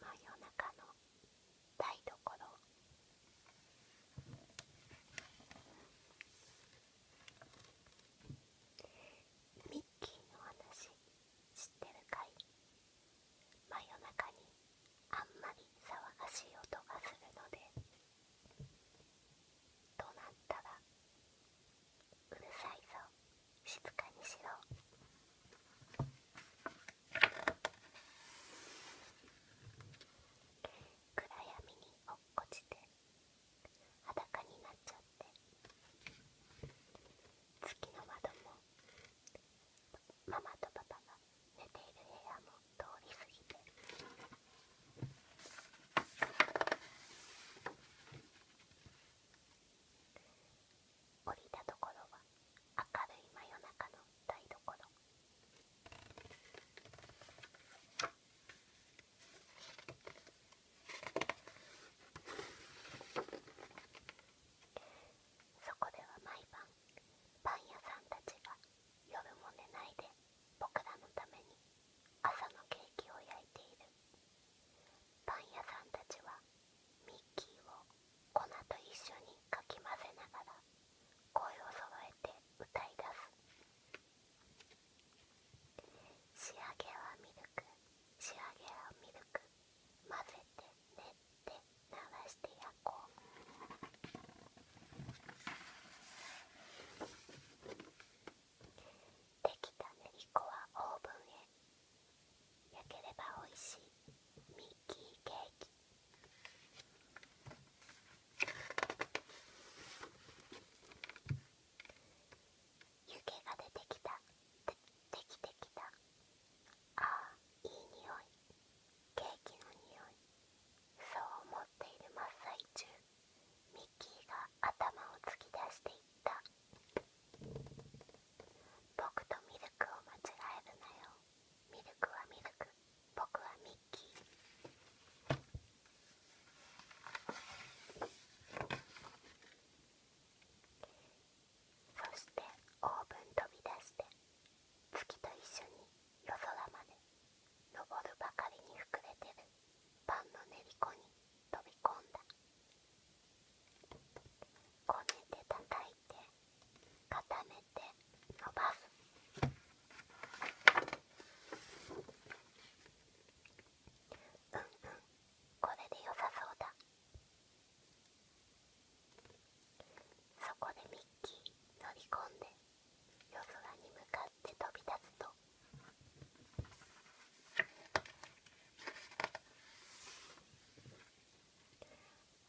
真夜中の台所ミッキーの話知ってるかい真夜中にあんまり騒がしい音がするので怒鳴ったらうるさいぞ静かにしろ暗闇に落っこちて裸になっちゃって月の窓もママとパパが寝ている部屋も通り過ぎて降りたところは明るい真夜中の台所そこでは毎晩パン屋さんたちが夜も寝ないで僕らのために朝のケーキを焼いているパン屋さんたちはミッキーを粉と一緒にかき混ぜながら声をそろえて歌い出す仕上げはミルク仕上げはミルク混ぜて練って流して焼こうできたねぎ粉はオーブンへ焼ければおいしいミッキーケーキ湯気が出てきたできてきたああいい匂いケーキの匂いそう思っている真っ最中ミッキーが頭を突き出していった僕とミルクを間違えるなよミルクはミルク僕はミッキーそしてオーブン飛び出して月と一緒に夜空まで登るばかりに膨れてるパンの練り粉に飛び込んだこねて叩いて固めて伸ばすうんうんこれで良さそうだそこでミッキー乗り込んで夜空に向かって飛び立つと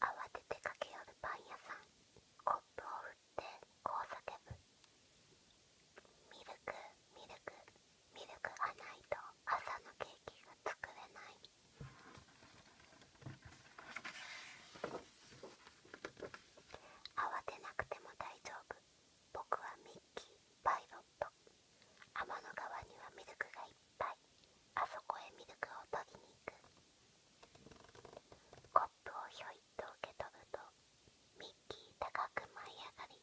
慌てて駆け寄るパン屋さんコップを振ってこう叫ぶ「ミルクミルクミルクがないと朝のケーキが作れない慌てなくても大丈夫僕はミッキーパイロット天の川にはミルクがいっぱいあそこへミルクを取りに行くコップをひょいっと受け取るとミッ気高く舞い上がり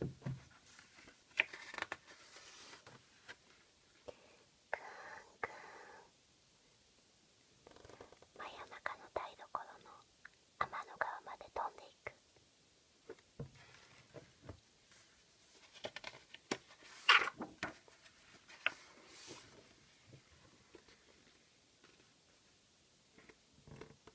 くんくん真夜中の台所の天の川まで飛んでいく牛乳屋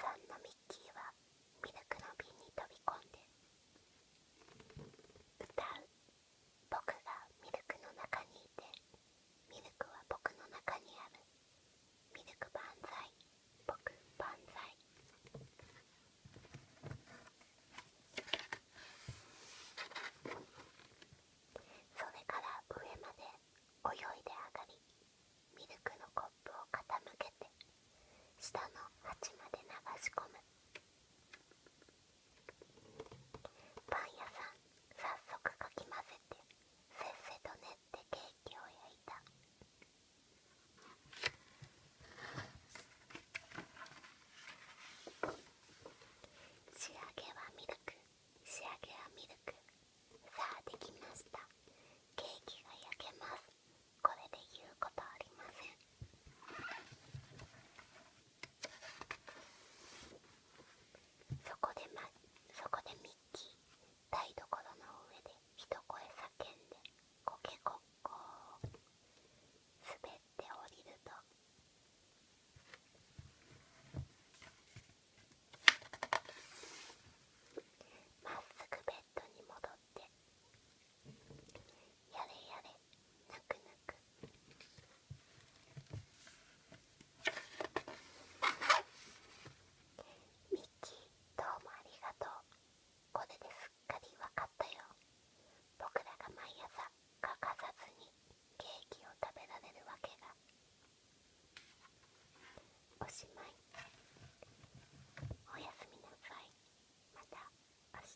さんのミッキーはミルクの瓶に飛び込んで歌う僕がミルクの中にいてミルクは僕の中にあるミルク万歳僕万歳それから上まで泳いで上がりミルクのコップを傾けて下の鉢まで流し込むパン屋さん早速かき混ぜてせっせと寝っケーキを焼いた仕上げはミルク仕上げはミルクさあできましたケーキが焼けますこれで言うことありませんそこで、ま、そこでミッキー台所の上で一声叫んでコケコッコー滑って降りるとまっすぐベッドに戻ってやれやれ泣く泣くミッキーどうもありがとうこれですっかりわかったよ僕らが毎朝欠かさずにケーキを食べられるわけがおしまいおやすみなさいまた明日